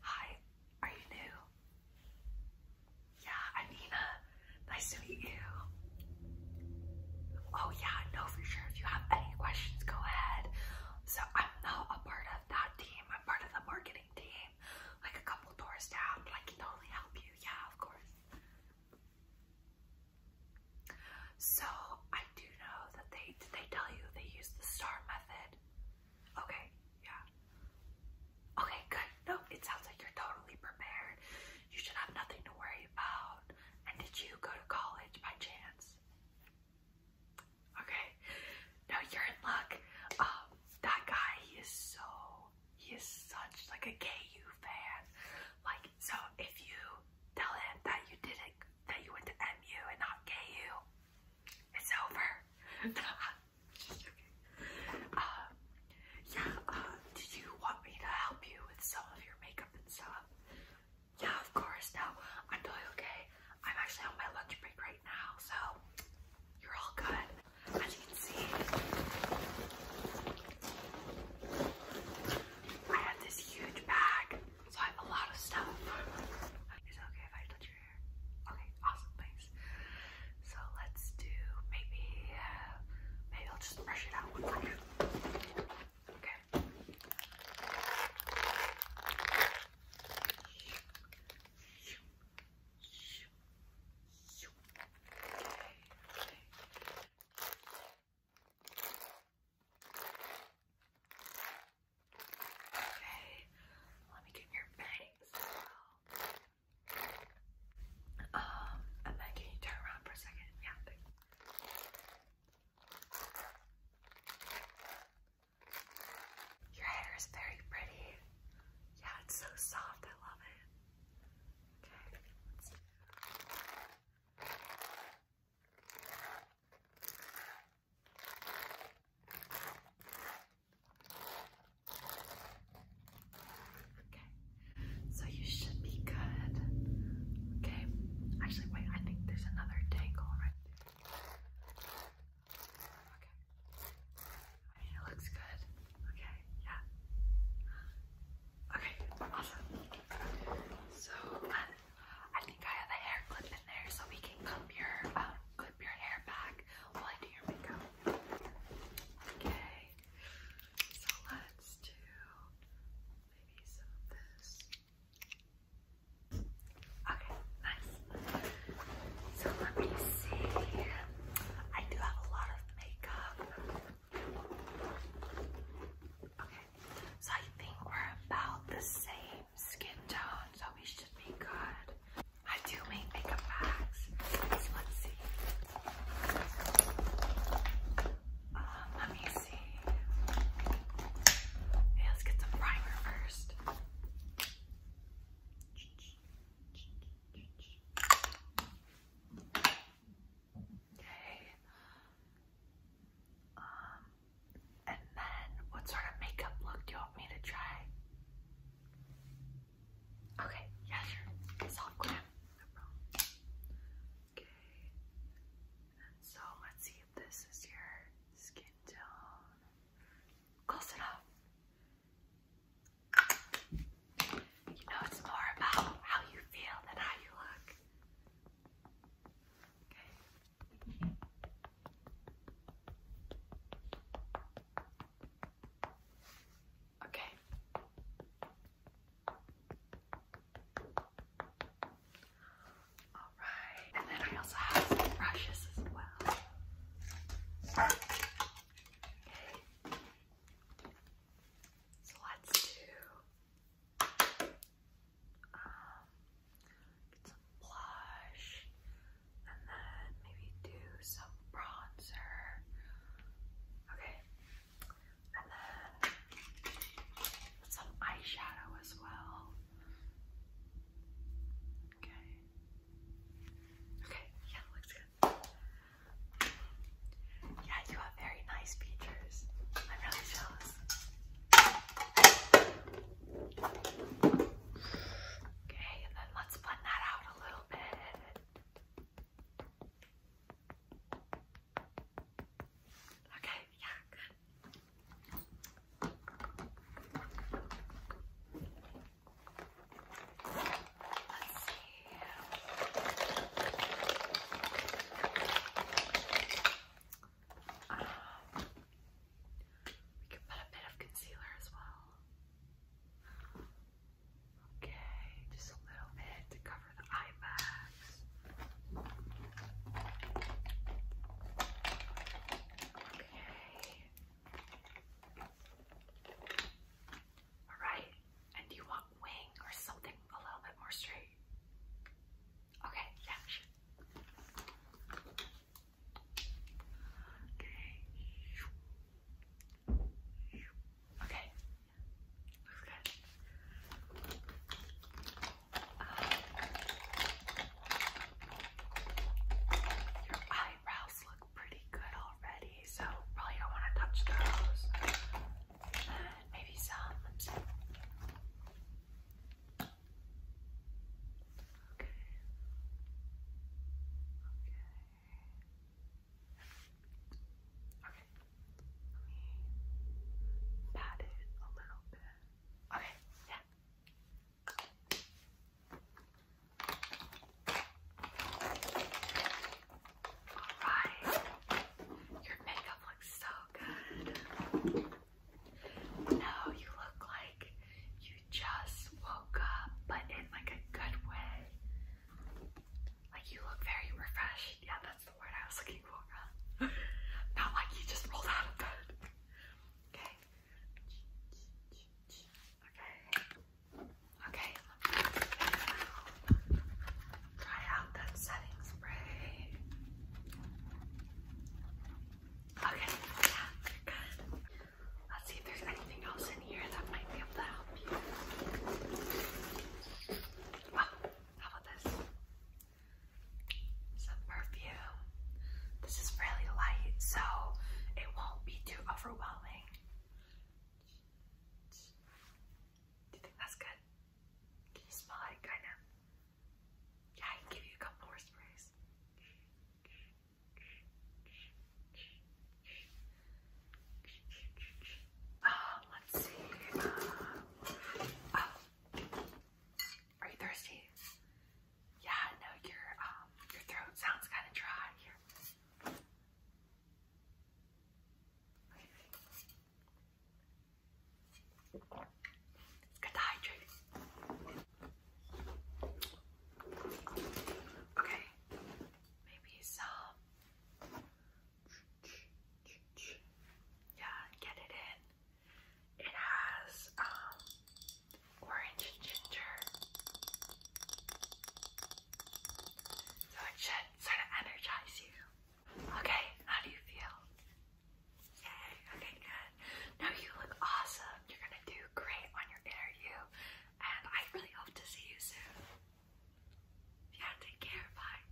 Hi, are you new? Yeah, I'm Nina. Uh, nice to meet you. Oh yeah, no for sure. If you have any questions, go ahead. So I'm not a part of that team. I'm part of the marketing team. Like a couple doors down, but I can totally help you. Yeah, of course. So I do know that they did they tell you they use the star method. Okay, yeah. Okay, good. No, it sounds like you're totally prepared. You should have nothing to worry about. And did you go to college by chance? Okay. No, you're in luck. Um, that guy, he is so, he is such like a KU fan. Like, so if you tell him that you didn't, that you went to MU and not KU, it's over. Just Um, uh, yeah, uh, you want me to help you with some of your makeup and stuff? Yeah, of course. No, I'm totally okay. I'm actually on my lunch break right now, so you're all good. As you can see, I have this huge bag so I have a lot of stuff. Is it okay if I touch your hair? Okay, awesome, thanks. So let's do maybe, maybe I'll just brush it out Okay. Okay, let me get your bangs. Um, and then can you turn around for a second? Yeah, Your hair is very pretty. Yeah, it's so soft. I love it. Okay, Okay, so you should be good. Okay, actually, wait, I think there's another tangle right there. Okay, I mean, it looks good. Okay, yeah. Okay, awesome. So I think I have a hair clip in there, so we can clip your um, clip your hair back while I do your makeup. Okay, so let's do maybe some of this. Okay, nice. So let me see. I do have a lot of makeup so I think we're about the same skin tone, so we should be good. I do make makeup bags, so let's see. Um, let me see. let's get some primer first. Okay. Um, and then what sort of makeup look do you want me to try? Okay, yeah, sure. Soft glam, no problem. Okay. And so let's see if this is your skin tone. Close enough. You know, it's more about how you feel than how you look. Okay. Okay. All right. And then I also have some brushes as well. Okay. So let's do um, some blush and then maybe do some bronzer. Okay. And then some eyeshadow as well. Okay. Okay, yeah, looks good. Yeah, you have very nice features. I'm really jealous. Okay, and then let's blend that out a little bit. Okay, yeah, good. Let's um, we could put a bit of concealer as well. Okay, just a little bit to cover the eye bags. Okay. Alright, and do you want wing or something a little bit more straight? Okay, yeah, Okay. Okay. Looks good. Uh, your eyebrow nails look pretty good already, so probably don't want to touch those. And maybe some lipstick. Okay. Okay. Okay. Let me pat it a little bit. Okay, yeah. Alright, your makeup looks so good. Now you look like you just woke up, but in like a good way. Like you look very refreshed. Yeah, that's the word I was looking for. Not like you just rolled out of bed. Okay, Okay, try out that setting spray. Okay, yeah, good. Let's see if there's anything else in here that might be able to help you. Oh, how about this? some perfume. This is really light, so it won't be too overwhelming. Do you think that's good? Can you smell it, kind of? Yeah, I can give you a couple more sprays. Uh, let's see. Uh, oh. Are you thirsty? Yeah, no, your um, your throat sounds kind of dry good hydrate. Okay, maybe some. Yeah, get it in. It has um, orange and ginger. So it should sort of energize you. Okay, how do you feel? Yay, okay, good. No, you look awesome. You're gonna do great on your interview, and I really hope to see you soon. Yeah, take care. Bye.